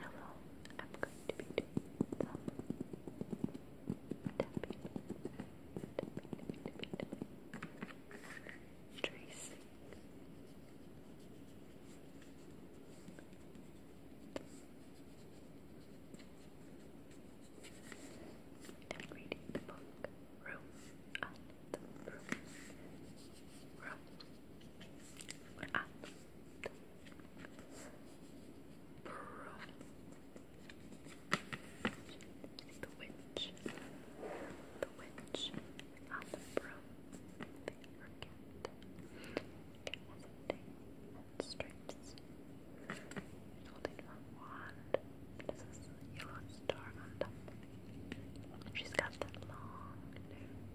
Hello, I'm going to be doing some tapping, tapping, tapping, tracing. I'm reading the book Room on the Room. Room on the witch, the witch on the broom, the orchid. It has a tail and stripes. It's holding her wand. There's this yellow star on top. She's got that long nose.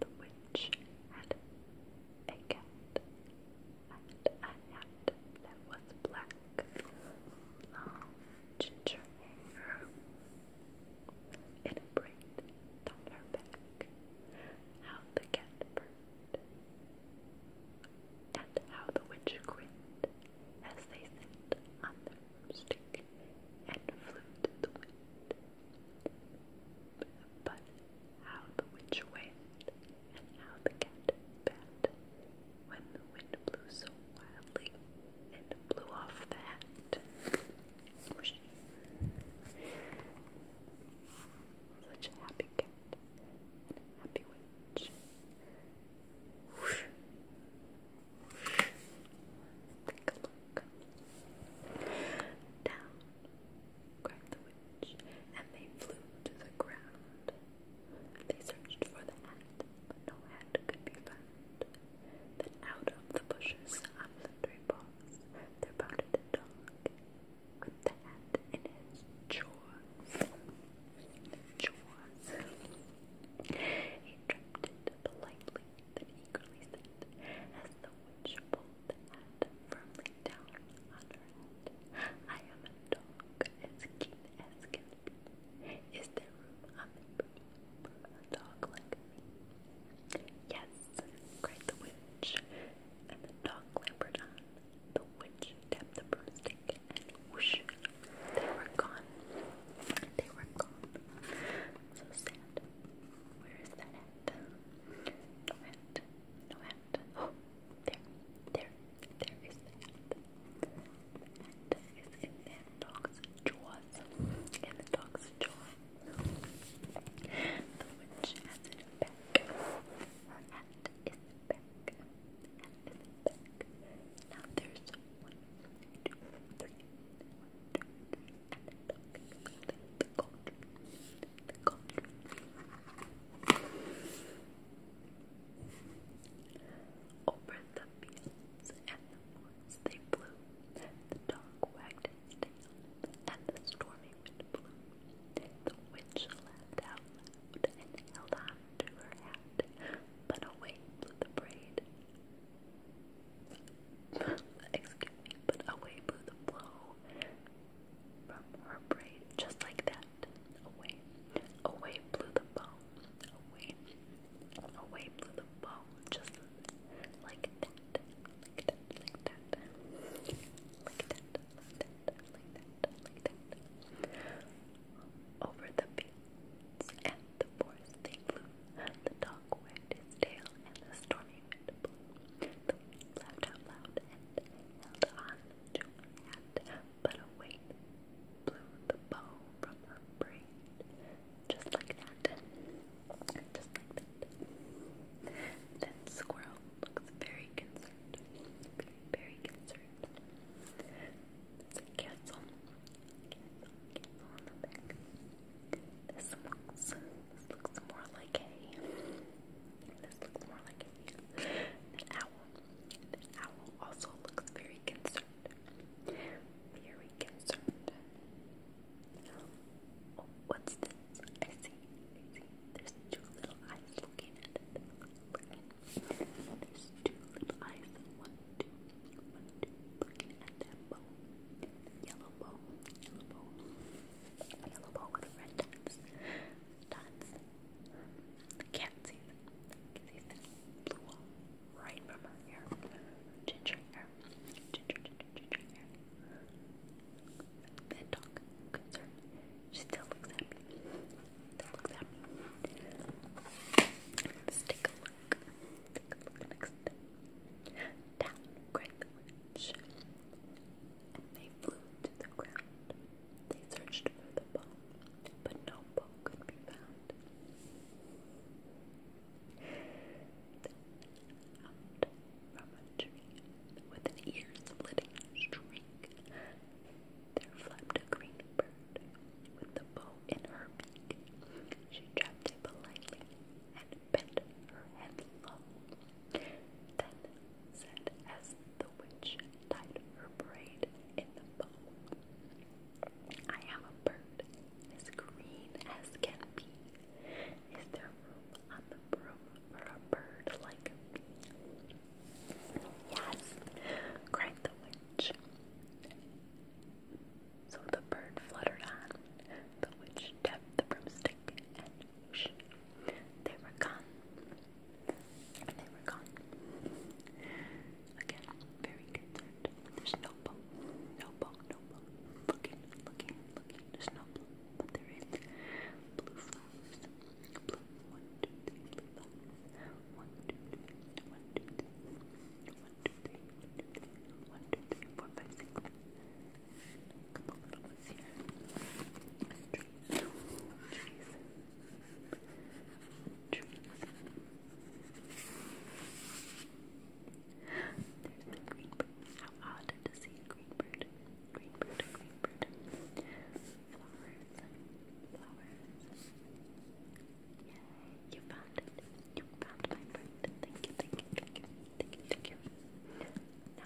The witch had a cat and a hat that was black, long ginger hair, and a down her back. How the cat purred, and how the witch grinned as they sat on their and flew the wind. But how the witch wailed and how the cat bat when the wind blew so wildly and blew off the hat. Such a happy cat happy witch. Down, cried the witch, and they flew to the ground. They searched for the hat, but no hat could be found. Then out of the bushes on sundry paws there bounded a dog with the hat in his jaw. Jaws. politely, then eagerly said, as the witch pulled the hat firmly down on her head, I am a dog as keen as can be. Is there room on for a dog like me? Yes, cried the witch, and the dog clambered on. The witch tapped the broomstick whoosh, they were gone. They were gone. So sad. Where is that hat? No hat. No hat. Oh, there, there, there is the hat. The hat is in the dog's jaws. In the dog's jaw. The witch has it back. Her hat is back to the Now there's one, two, three, one, two, three, and i the cauldron, the cauldron. Over the fields and woods they flew. The dog wagged his tail, and the stormy wind blew. The witch laughed out loud and held on onto her hat, but away blew the braid. Excuse me, but away blew the blow from her braid, just like that. Away, away blew the bow. Away, away blew the bow, just like that, like that, like that, like that, like that, like that, like that. Over the fields and the forest they flew. The dog wagged his tail, and the stormy wind blew. The wind laughed out loud and held on to her but a blew the bow from her braid. Just like that. Just like that. Then Squirrel looks very concerned. Very, very concerned. It's Careful, on This looks, this looks more like a, this looks more like an owl. This owl also looks very concerned. Very concerned. what's this? I see, I see. There's two little eyes looking at it. There's two little eyes. One, two, one, two. Looking at that bow. Yellow bow. Yellow bow. Yellow bow with red dots. Dots. Can't see them. Can see them. Blue wall. Right from her hair. Ginger hair. Ginger, ginger, ginger hair. That dog concern. She still looks at Let's take a look. Take a look next. Down cried the and they flew to the ground. They searched for the bone, but no bone could be found. Then out from a tree with an ear-splitting shriek. There flapped a green bird with the bow in her beak. She dropped it politely and bent her head low. Then said, as the witch tied her braid in the bow, I have a bird as green as can be. Is there room on the broom for a bird like me? Yes, cried the witch. So the bird fluttered on, the witch tapped the broomstick, and whoosh, they were gone. they were gone. Again, very concerned. There's no bow, no bow, no bow. Looking, looking, looking. There's no blue, but there is blue flowers. one, two, three, blue flowers one, two, three, one, two, three, one, two, three, one, two, three, one, two, three, four, five, six. A couple little ones here. Trees, trees, trees. There's the green bird. How odd to see a green bird. Green bird, green bird. Flowers, flowers, you found it. You found my friend. Thank you, thank you, thank you, thank you, thank you. Now,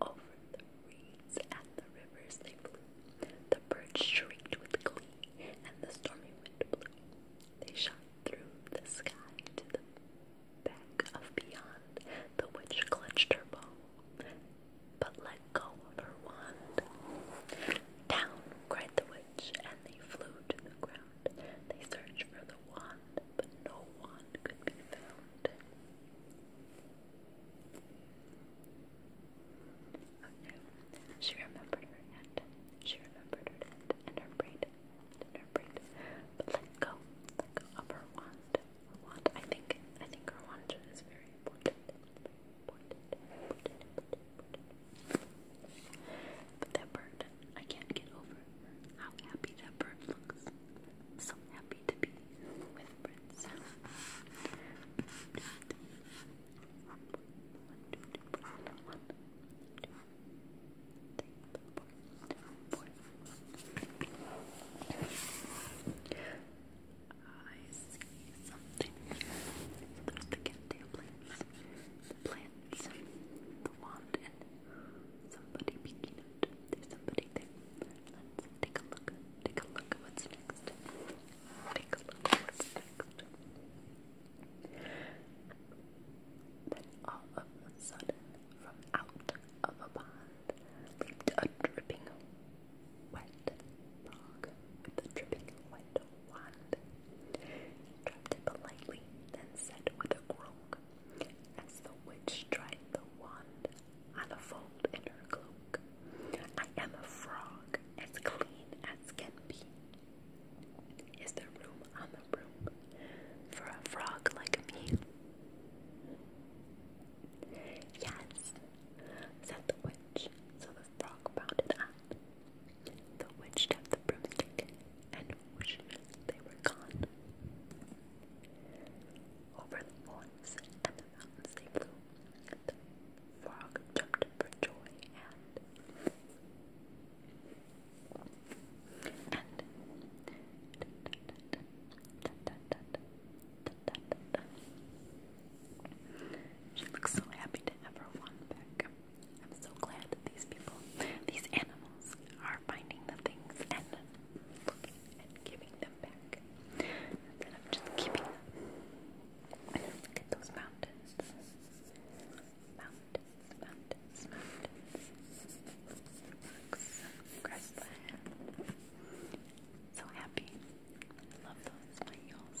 over the reeds and the rivers they flew. The birds shrieked with glee, and the stormy wind blew. They shot through the sky to the back of beyond. The witch clutched her bow, but let go of her wand. Down, cried the witch, and they flew to the ground. They searched for the but no one could be found. she remembered her hand. She remembered her hand and her braid. And her braid. But let go. Let go of her wand. wand. I think I think her wand is very important. Important. Important. important, important. But that bird I can't get over how happy that bird looks. So happy to be with Prince. I see something. there's the cat plants, the wand, and Somebody peeking out. There's somebody there. Let's take a look. Take a look at what's next. Take a look next. Then all of a sudden, from out of a pond, leaped a dripping wet frog with dripping wet wand. He dropped it politely, then said with a groan, as the witch tried the wand on the fold in her cloak, I am a frog, as clean as can be. Is there room on the room for a frog like me? Yes, said the witch, so the frog bounded on. The witch took the broomstick and whoosh, they were gone. Over the forest and the mountains they flew. The frog jumped for joy and and she looks so happy to have her wand back. I'm so glad these people, these animals, are are finding the things and looking and giving them back. And I'm just keeping them. Look at those mountains. Mountains, mountains, mountains. Rocks, So happy. love those smiles.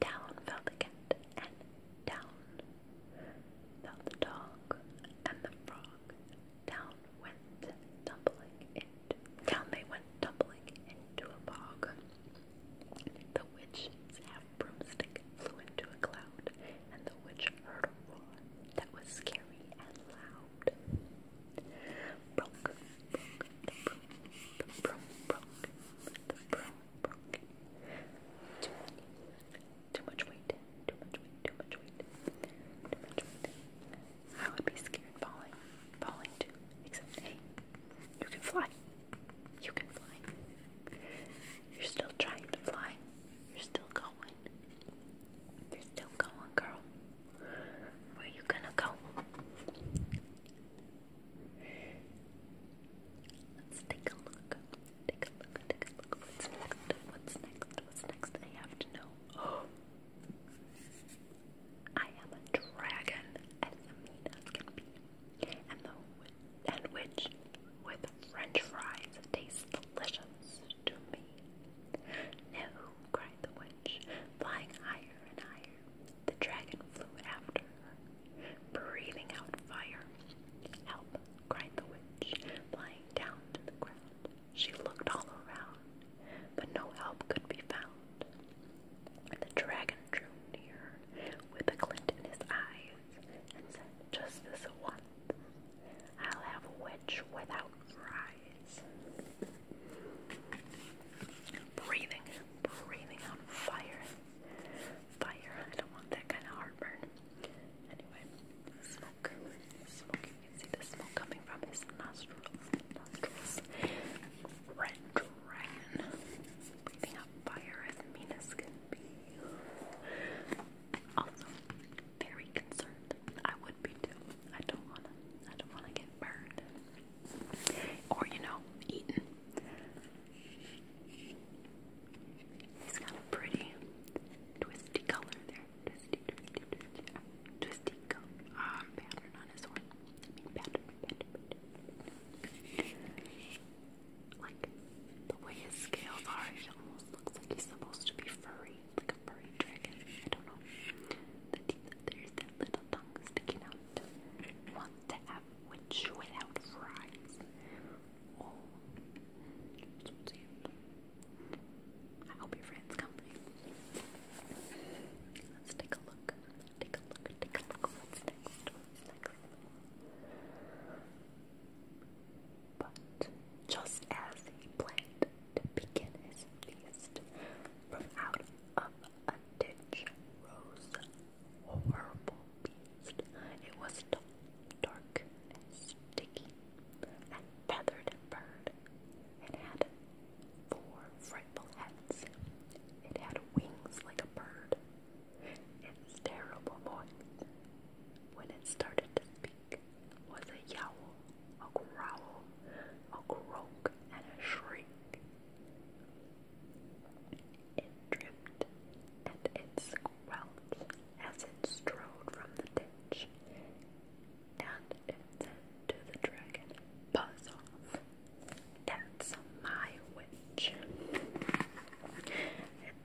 Down fell the cat, and down fell the dog and the frog. Down went tumbling into down they went tumbling into a bog. The witch's half broomstick flew into a cloud, and the witch heard a roar that was scary and loud. Broke, broke, the broom, the broke, too much weight. Too much weight. Too much weight. Too much weight. I would be scared falling. Falling too. Except hey, you can fly. You can fly. You're still trying to fly. You're still going. You're still going, girl. Where you gonna go? Let's take a look. Take a look. Take a look. What's next? What's next? What's next? I have to know. I am a dragon, as mean as can be, and the and with French fries tastes delicious to me. No, cried the witch, flying higher and higher the dragon flew after her, breathing out fire. Help! cried the witch, flying down to the ground. She looked all around, but no help could be found. The dragon drew near with a glint in his eyes and said, Just this once, I'll have a witch without eyes. Breathing breathing out fire. Fire. I don't want that kind of heartburn. Anyway, smoke. Smoke. You can see the smoke coming from his nostrils. Nostrils. Red dragon. Breathing out fire as mean as can be. Also, very concerned. I would be too. I don't wanna. I don't wanna get burned. Or, you know, eaten. He's got a pretty twisty color there. Twisty, twisty, twisty. twisty color. Uh, ah, pattern on his horn. pattern, pattern, pattern. Like, the way his scales are, it almost looks like he's supposed to be furry. Like a furry dragon. I don't know. The teeth, there's little tongue sticking out. Want to have without fries? Oh. I hope your friends come. Let's take a look. Take a look. Take a look. But just as he planned to begin his feast, from out of a ditch rose horrible beast. It was a dark, sticky, and feathered and It had four frightful heads. It had wings like a bird. Its terrible voice, when it started to speak, was a yowl, a growl, a croak, and a shriek. It dripped and it squelched as it strode from the ditch, and said to the dragon, Buzz off, that's my witch. It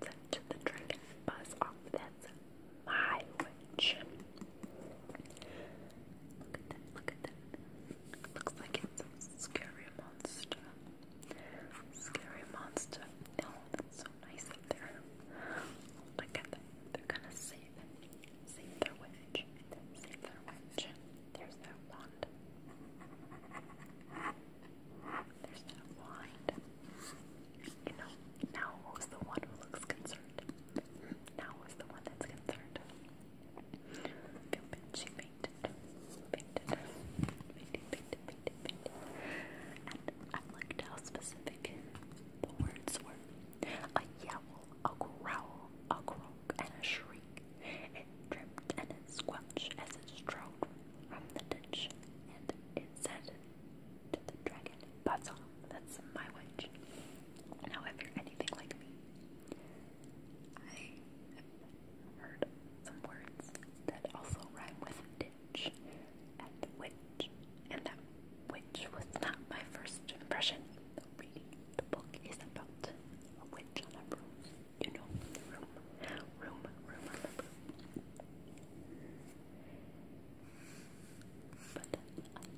said to the dragon, Buzz off, that's my witch. Look at that, look at that looks like it's a scary monster. Scary monster. Oh, that's so nice up there. Look at them. They're gonna save Save their witch. Save their witch. There's that wand. There's that wand. You know, now who's the one who looks concerned? Now who's the one that's concerned? I feel bitchy. I liked how specific the words were. A yowl, a growl, a croak, and a shriek. It dripped and it squelched as it stroked from the ditch, and it said to the dragon, Butts that's my witch. Now if you're anything like me, I heard some words that also rhyme with ditch and witch, and that witch was not my first impression. But reading the book is about a witch on a broom. You know, room, room, room on a broom. But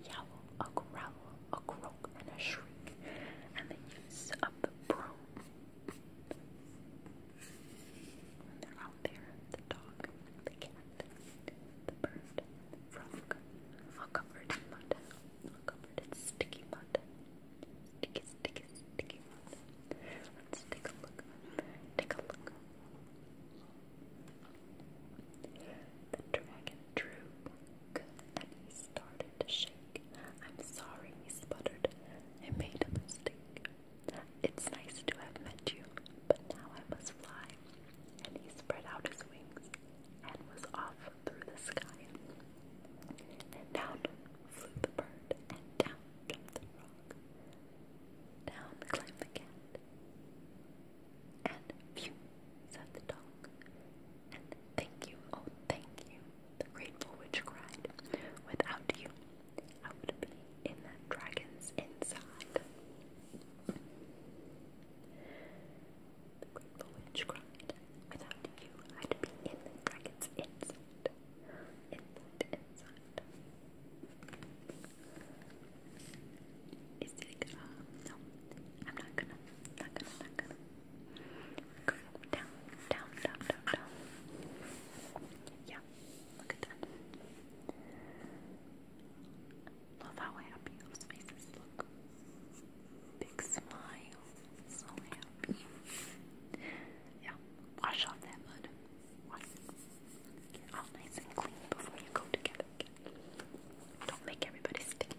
a yowl, a growl, a croak and a shriek, and the use of the broom. they're out there, the dog, the cat, the bird, the all covered in mud, all covered in sticky mud. Sticky, sticky, sticky mud. Let's take a look. Take a look. The dragon drew and he started head shake. I'm sorry, he sputtered. I made a mistake. It's nice to have met you, but now I must fly. And he spread out his wings and was off through the sky. And down flew the bird, and down jumped the frog. Down climbed the cat. And phew, said the dog. And thank you, oh thank you, the grateful witch Without you, I would be in that dragon's inside. The grateful witch Without you, I'd be in the dragon's inside. Inside, Is it, uh, no, I'm not gonna, not gonna, not gonna. Go down, down, down, down, down. Yeah, look at that. Love how happy those faces look. Big smile, so happy. Yeah, wash off that Wash Get all nice and clean before you go to get Don't make everybody sticky.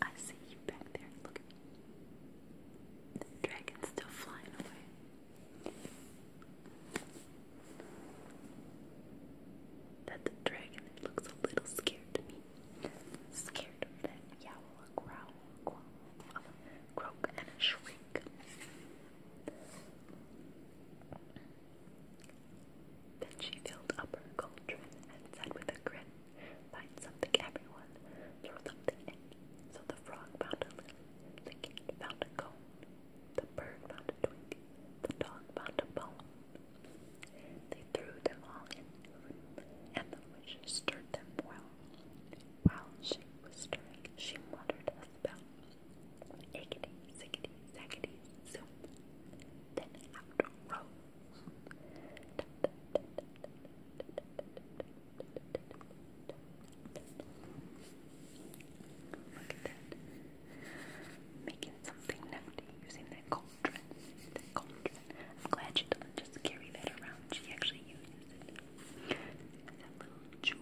I see you back there. Look at me. The dragon's still flying away. That dragon looks a little scared to me. Scared of that yowl, growl, a croak, and a shriek. Then she filled up her cauldron and said with a grin, Find something, everyone, throw something in. So the frog found a lily, the cat found a cone, the bird found a twig, the dog found a bone. They threw them all into and the witch stirred them well. While she was stirring, she muttered a spell. Ickety, sickety, zackety, zoom. Then out rose Look at Making something nifty using that cauldron. I'm glad she doesn't just carry that around. She actually uses it. jewel.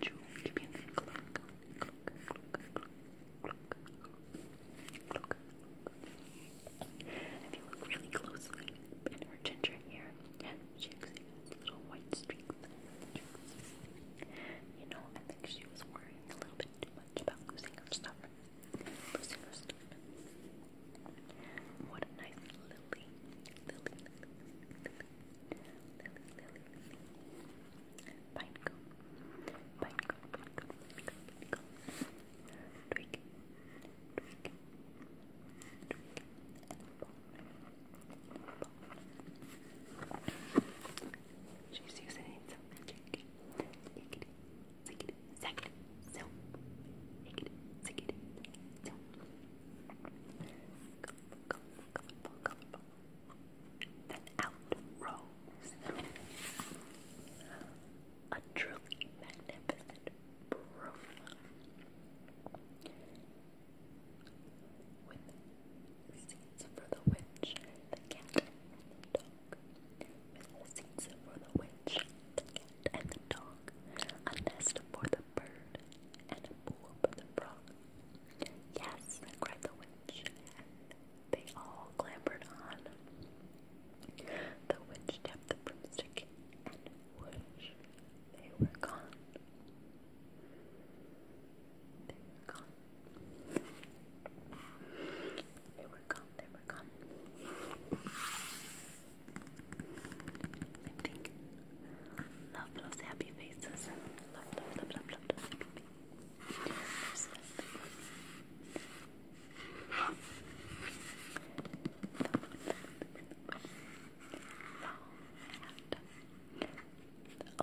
Jewel. Give me a cloak. Cloak. Cloak. Cloak. Cloak. Look. If you look really closely in her ginger hair, she exhibits little white streaks. You know, I think she was worrying a little bit too much about losing her stuff. Losing her stuff. What a nice lily, lily, lily, lily, lily. Pinecone. Pinecone, She's using some magic. Ickety, zickety, zackety, Then out row a truly magnificent profile with seats for the witch, the cat, and the dog. With seats for the witch, the cat, and the dog. A nest for the bird, and a pool for the frog. Yes, cried the witch, they all clambered on. The witch tapped the broomstick, and whoosh, they were gone. They were gone. They were gone, they were gone. I think love those happy faces. love, love, love, love, love, a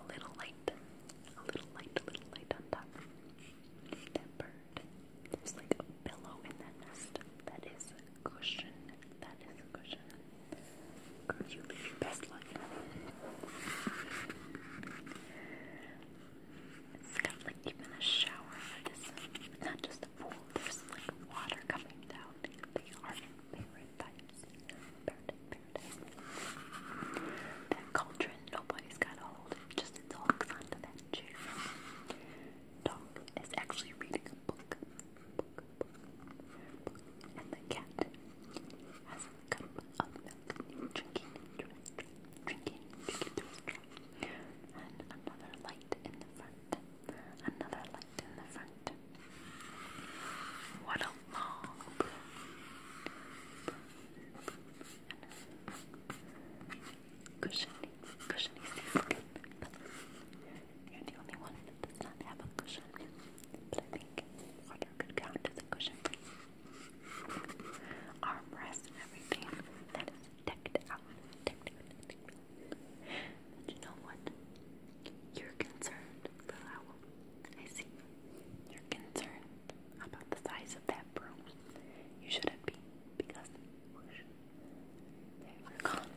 little light, a little light, a little light on top. That bird, like a pillow in that nest. That is a cushion. That is a cushion. Girl, you live your best life. It's got like even a shower for not just a pool, there's like water coming down. They are paradise. Paradise, paradise. That cauldron, nobody's got a hold of just it talks onto that chair. Dog is actually reading a book. book, book, book. And the cat has cup of milk, drinking into it, drinking, drinking And another light in the front, another light in the front. What a long Cushiony, cushiony seascape. You're the only one that does not have a cushion. But I think water could count as a cushion armrest and everything that is decked out. you know what? You're concerned, I see. You're concerned about the size of that broom. You shouldn't be because they were gone.